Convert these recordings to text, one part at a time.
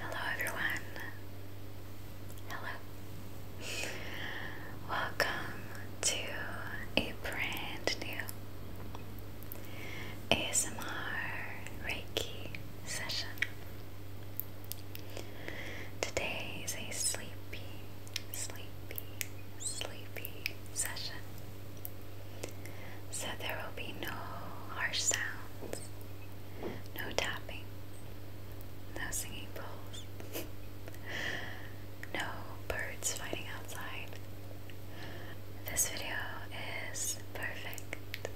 Hello everyone. Hello. Welcome to a brand new ASMR Reiki session. Today is a sleepy, sleepy, sleepy session. So there will be no harsh sounds, no tapping, no singing bowls, no birds fighting outside. This video is perfect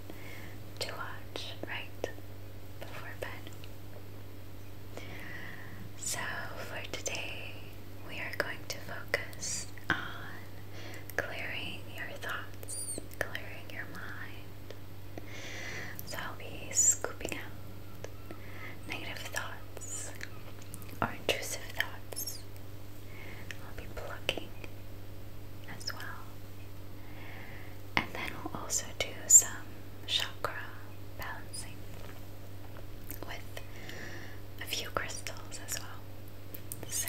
to watch right before bed. So for today, we are going to focus on clearing your thoughts, clearing your mind. So I'll be scooping out negative thoughts or intrusive thoughts. I'll be plucking as well. And then we'll also do some chakra balancing with a few crystals as well. So,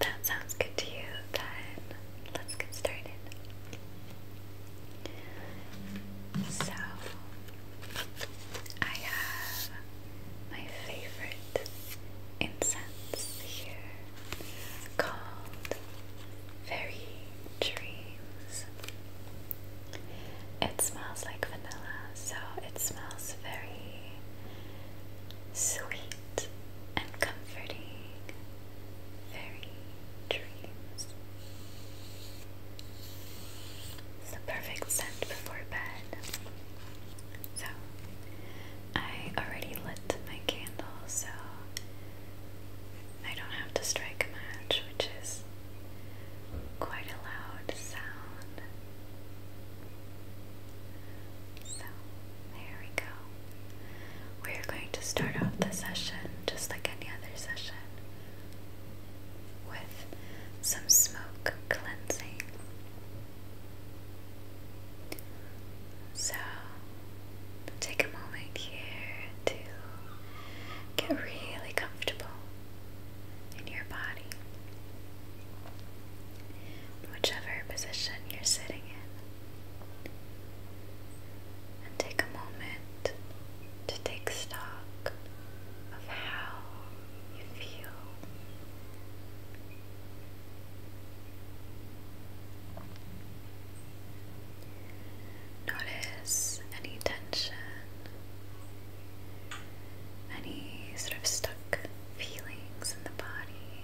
that sounds good to you, then let's get started. So, I have my favorite incense here called Fairy Dreams. It smells like vanilla, so it smells very sweet and comforting fairy dreams. It's the perfect scent before bed. So, I already lit my candle, so I don't have to strike a match, which is quite a loud sound. So, there we go. We're going to start off the session just like any other session with some smoke cleansing. So, take a moment here to get really comfortable in your body. Whichever position you're sitting in, and take a moment to take stock of how you feel. Notice any tension, any sort of stuck feelings in the body,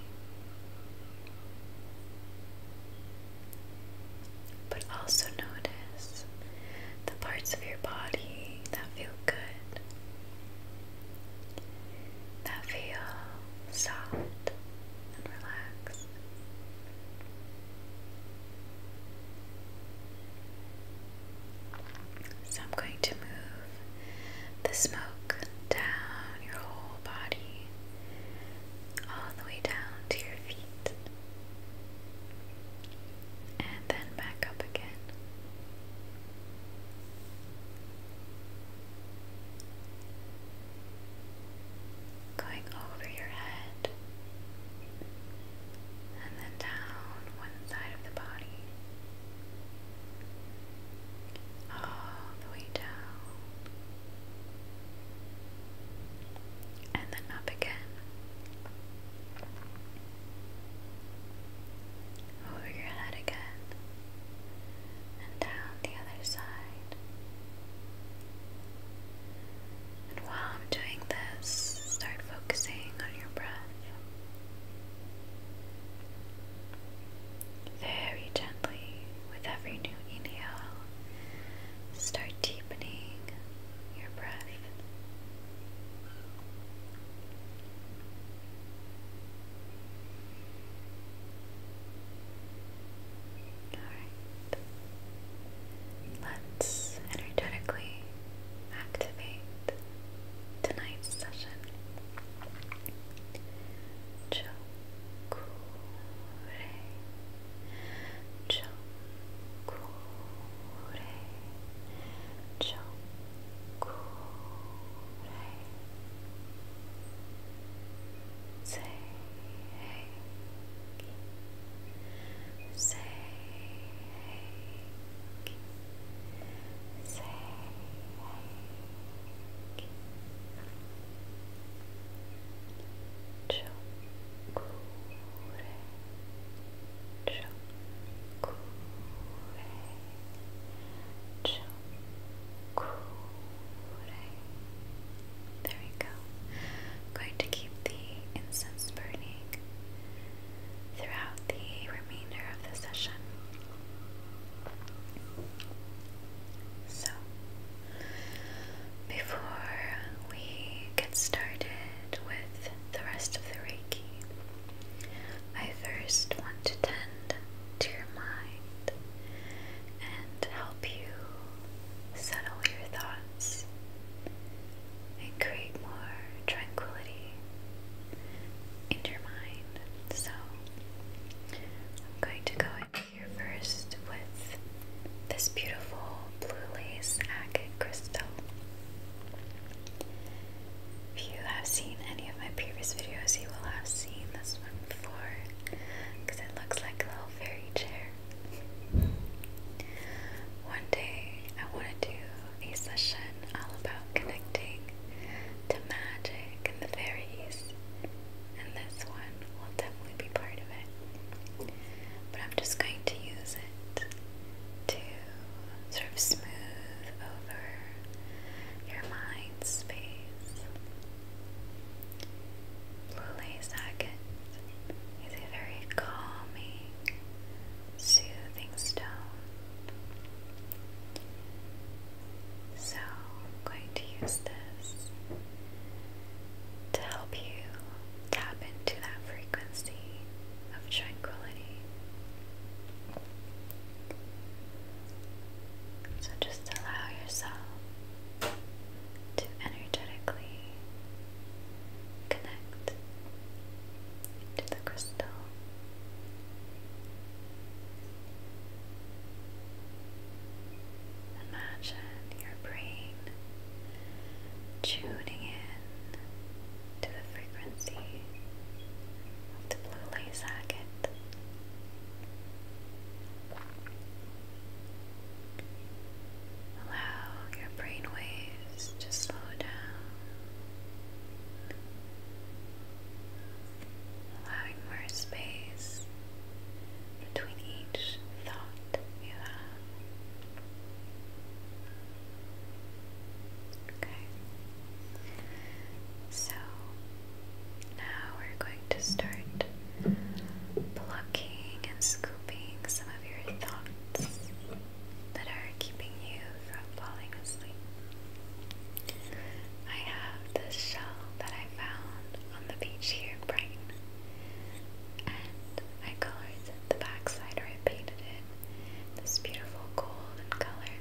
but also notice the parts of your body that feel good, that feel soft and relaxed. So I'm going to move the smoke down your whole body, all the way down to your feet, and then back up again. Going over your head and then down one side of the body, all the way down, and then up again. Over your head again, and down the other side. And while I'm doing this, start focusing on your breath. Very gently, with every new inhale, start deepening your breath. Alright, let's energetically activate tonight's session. Chokure, chokure, chokure. Say hey, Say hey. Chokure. There we go. going to keep the incense burning throughout the remainder of the session. So, before we get started with the rest of the Reiki, I first want to tend to your mind and help you settle your thoughts and create more tranquility in your mind. So, I'm going to go in here first with this beautiful blue lace agate crystal. If you have seen any of my previous videos, you will have seen this one before because it looks like a little fairy chair. One day I want to do a session all about connecting to magic and the fairies, and this one will definitely be part of it. But I'm just going to use it to sort of smooth over your mind space. Blue Lace is a very calming soothing stone. So, I'm going to use this to help you tap into that frequency of tranquility. So, just allow yourself to energetically connect to the crystal. Imagine your brain tuning in to the frequency of the blue light Allow your brain to slow down, allowing more space between each thought Okay, so now we're going to start plucking and scooping some of your thoughts that are keeping you from falling asleep. I have this shell that I found on the beach here in Brighton, and I colored the backside or I painted it this beautiful golden color.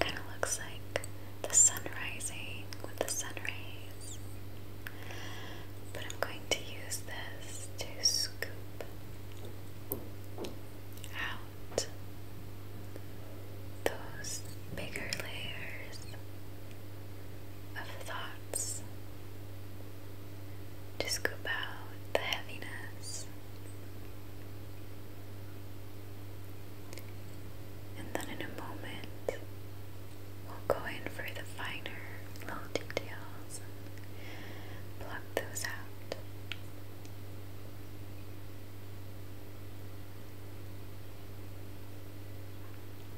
Kind of looks like the sun rising with the sun rays but I'm going to use this to scoop out those bigger layers of thoughts, to scoop out the heaviness. And then in a moment, We'll go in for the finer little details pluck those out.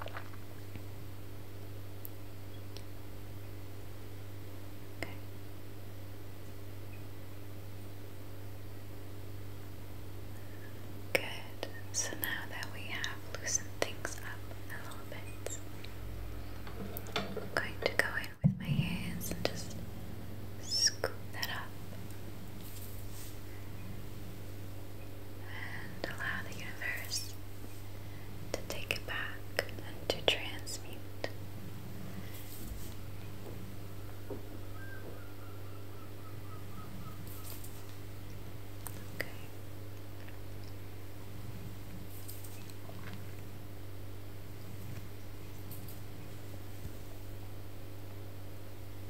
Okay. Good. So now that we have loosened things up a little bit, I'm going to go in with my hands and just scoop that up. And allow the universe to take it back and to transmute. Okay.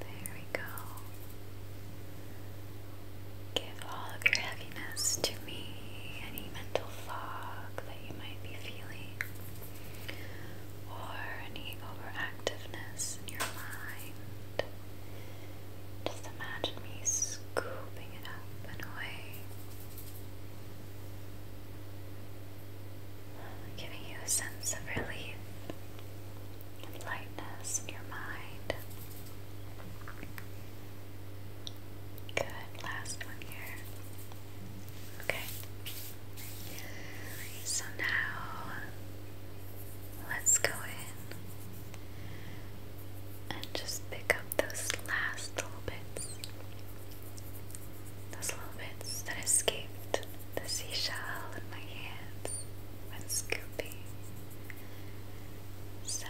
There we go. Give all of your heaviness to me, any mental fog that you might be feeling, or any overactiveness in your mind. Just imagine me scooping it up and away, giving you a sense of relief and lightness in your mind. Good, last one here. Okay. So now let's go in and just pick up those last little bits, those little bits that escaped the seashell in my hands when scooping. So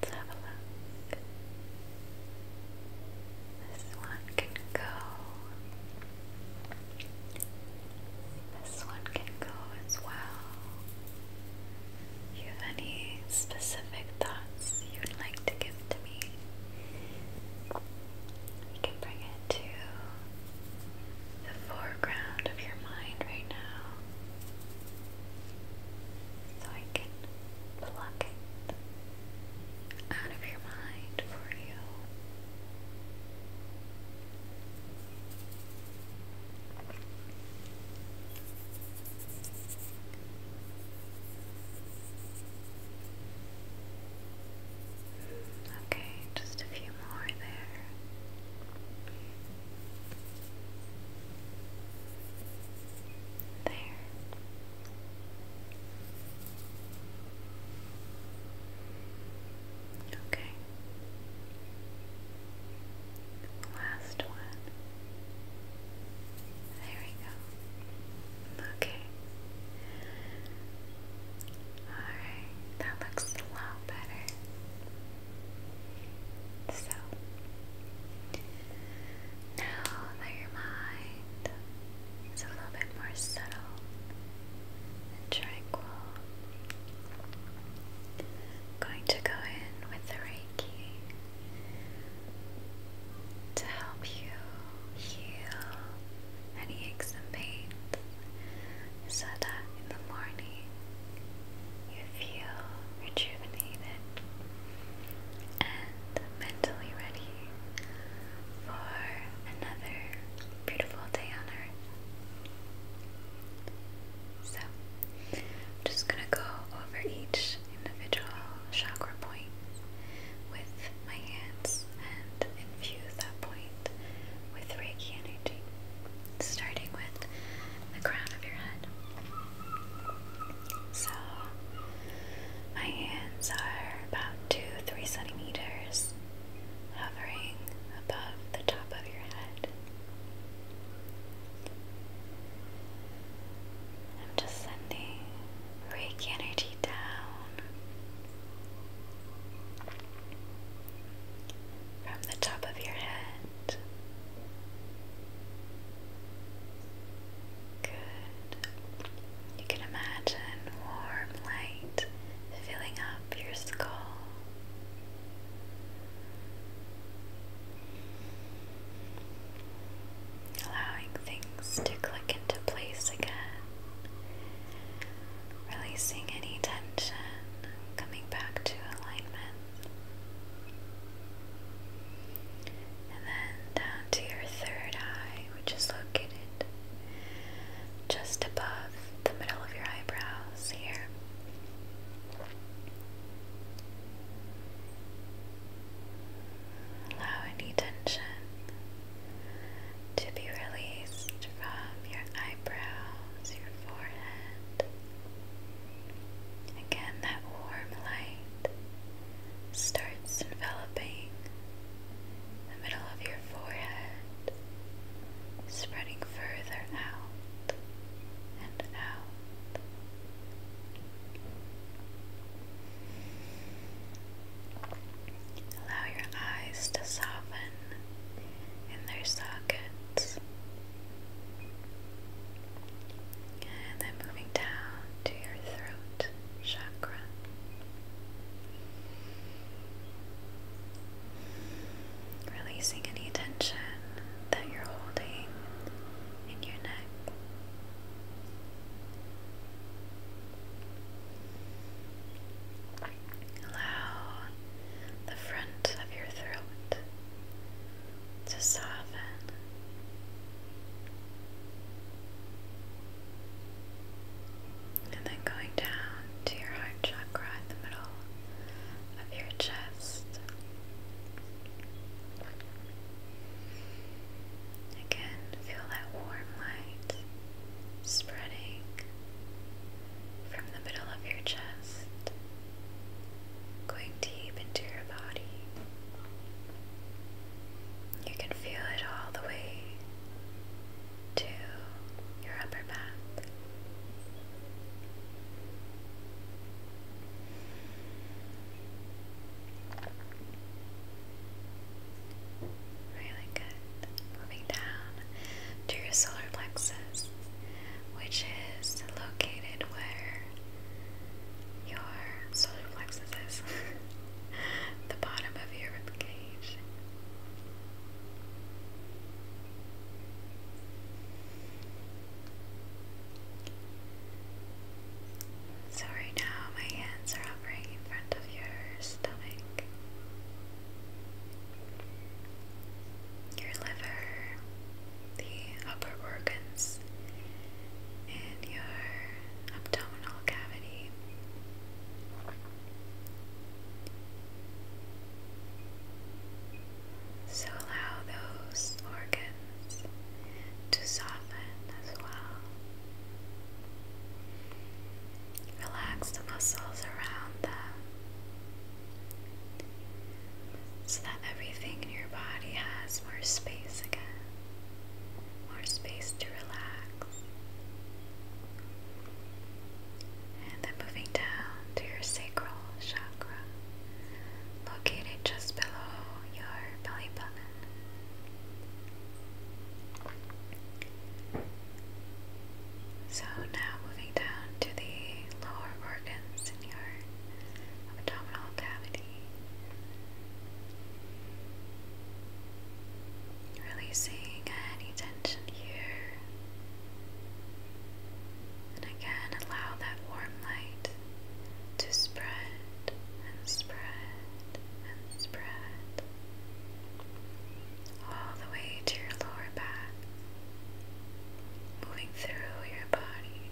let's have a look. This one can go this one can go as well. you have any specific thoughts you'd like to give to me, you can bring it to the foreground of your mind right now so I can pluck it out of your mind for you. Okay, just a few more there. There. Okay. Last one. There we go. Okay. Alright, that looks a lot better. So, now that your mind is a little bit more subtle, and tranquil. going to go in with the Reiki to help you heal any aches and pains so that in the morning you feel rejuvenated and mentally ready for another beautiful day on earth. So, I'm just going to go over each individual chakra point with my hands and infuse that point with Reiki energy, starting with the crown of your head. So, my hands are about two, three centimeters hovering above the top of your head. I'm just sending Reiki energy down from the top of your head. Good. You can imagine warm light filling up up your skull. Allowing things to click into place again. Releasing any tension, coming back to alignment. And then down to your third eye, which is just above the middle of your eyebrows here. Allow any tension to be released from your eyebrows, your forehead. Again, that warm light starts enveloping the middle of your forehead, spreading further out and out. Allow your eyes to soften in their sockets. And then moving down to your throat chakra. Releasing any tension that you're holding in your neck. Allow the front of your throat to soften. And then going down to your heart chakra in the middle of your chest. Again, feel that warm light spreading from the middle of your chest, going deep into your body. You can feel it all the way to your upper back. Really good. Moving down to your solar plexus, which is located where your solar plexus is, the bottom of your ribcage amazing. So, right now, my hands are hovering in front of your stomach, your liver, the upper organs, and your abdominal cavity. So allow those organs to soften as well. Relax the muscles around them so that everything in your body has more space again, more space to relax. And then moving down to your sacral chakra, located just below your belly button. So now moving down to the lower organs in your abdominal cavity. Releasing any tension here. And again, allow that warm light to spread and spread and spread all the way to your lower back, moving through your body.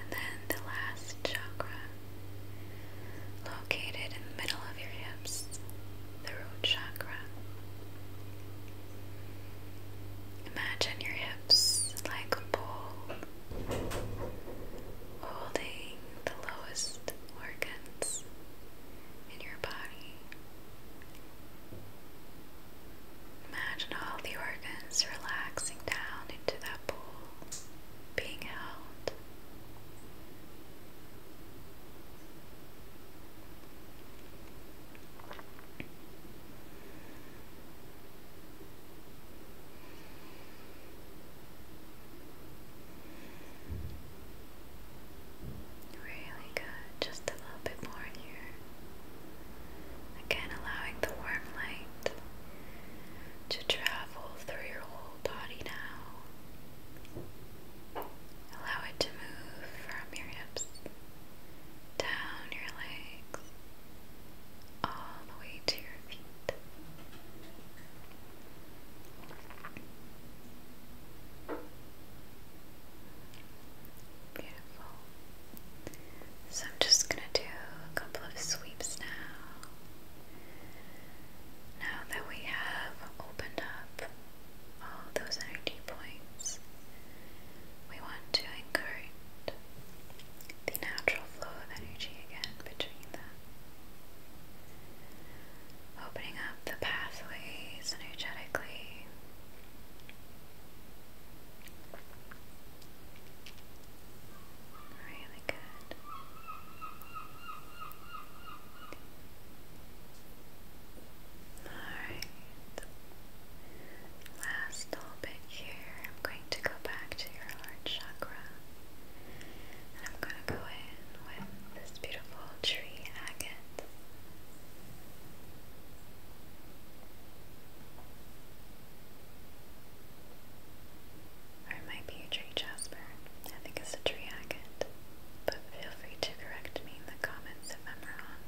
And then the last chakra, located in the middle of your hips, the root chakra. Imagine your hips like a bowl holding the lowest organs in your body Imagine all the organs relaxing down into that pool, being held. Really good. Just a little bit more here. Again, allowing the warm light to travel through your whole body now. Allow it to move from your hips, down your legs, all the way to your feet. So I'm just going to do a couple of sweeps now. Now that we have opened up all those energy points, we want to encourage the natural flow of energy again between them opening up the pathways energetically. Really good. Alright. Last little bit here. I'm going to go back to your heart chakra. And I'm going to go in with this beautiful tree agate. Or it might be a tree jasper. I think it's a tree agate. But feel free to correct me in the comments if I'm wrong.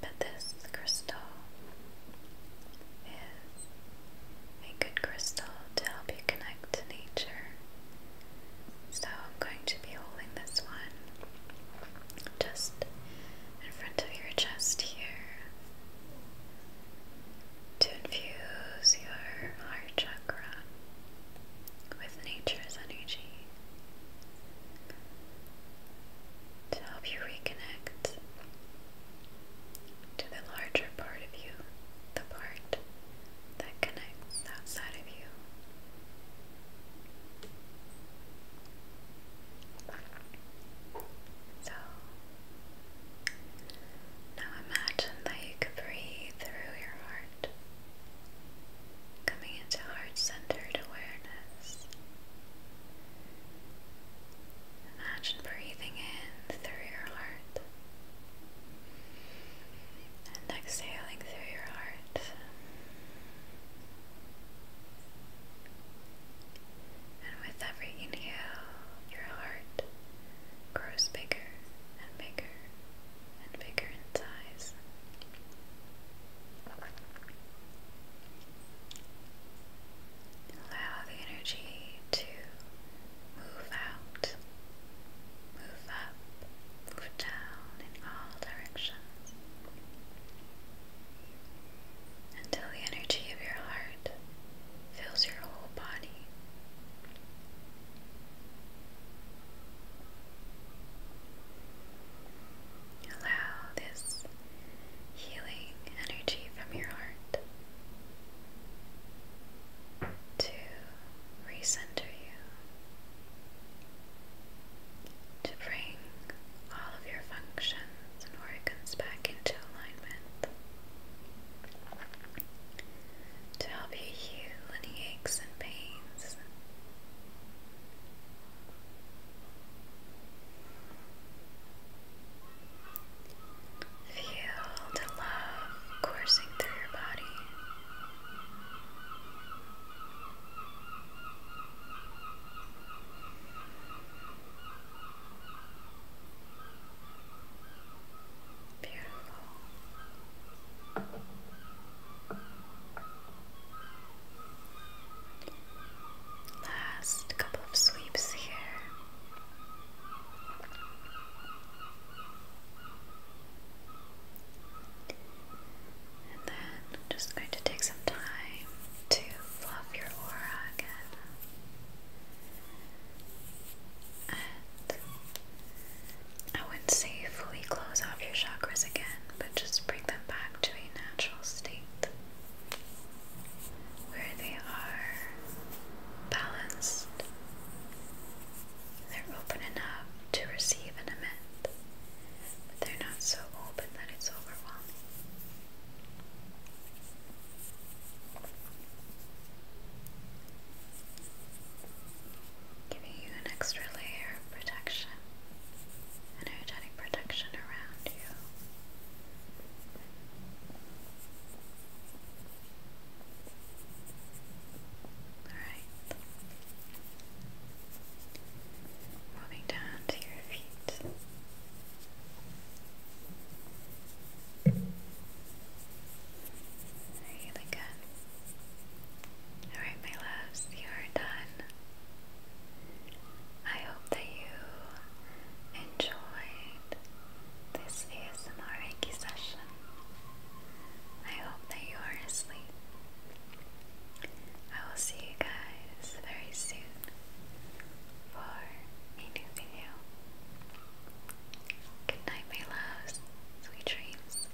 But this crystal is a good crystal to help you connect to nature. So I'm going to be holding this one just in front of your chest here to infuse your heart chakra with nature's energy to help you reconnect to the larger part of you, the part that connects outside of you. So now imagine that you could breathe through your heart, coming into heart centered awareness. Imagine breathing in through your heart and exhaling through your heart. And with every inhale, your heart grows bigger and bigger and bigger in size. Allow the energy to move out, move up, move down in all directions until the energy of your heart fills your whole body. Allow this healing energy from your heart to recenter you, to bring all of your functions and organs back into alignment, to help you heal any aches and pains. Feel the love coursing through your body. Beautiful. Last couple of sweeps here. And then just going to take some time to fluff your aura again. And I wouldn't say fully close off your chakras again, but just bring them back to a natural state where they are balanced they're open enough to receive and emit, but they're not so open that it's overwhelming. Giving you an extra layer of protection, energetic protection around you. Alright. Moving down to your feet. Really good. Alright, my loves, you are done. I hope that you enjoy this is an Reiki session. I hope that you are asleep. I will see you guys very soon for a new video. Good night, my loves. Sweet dreams.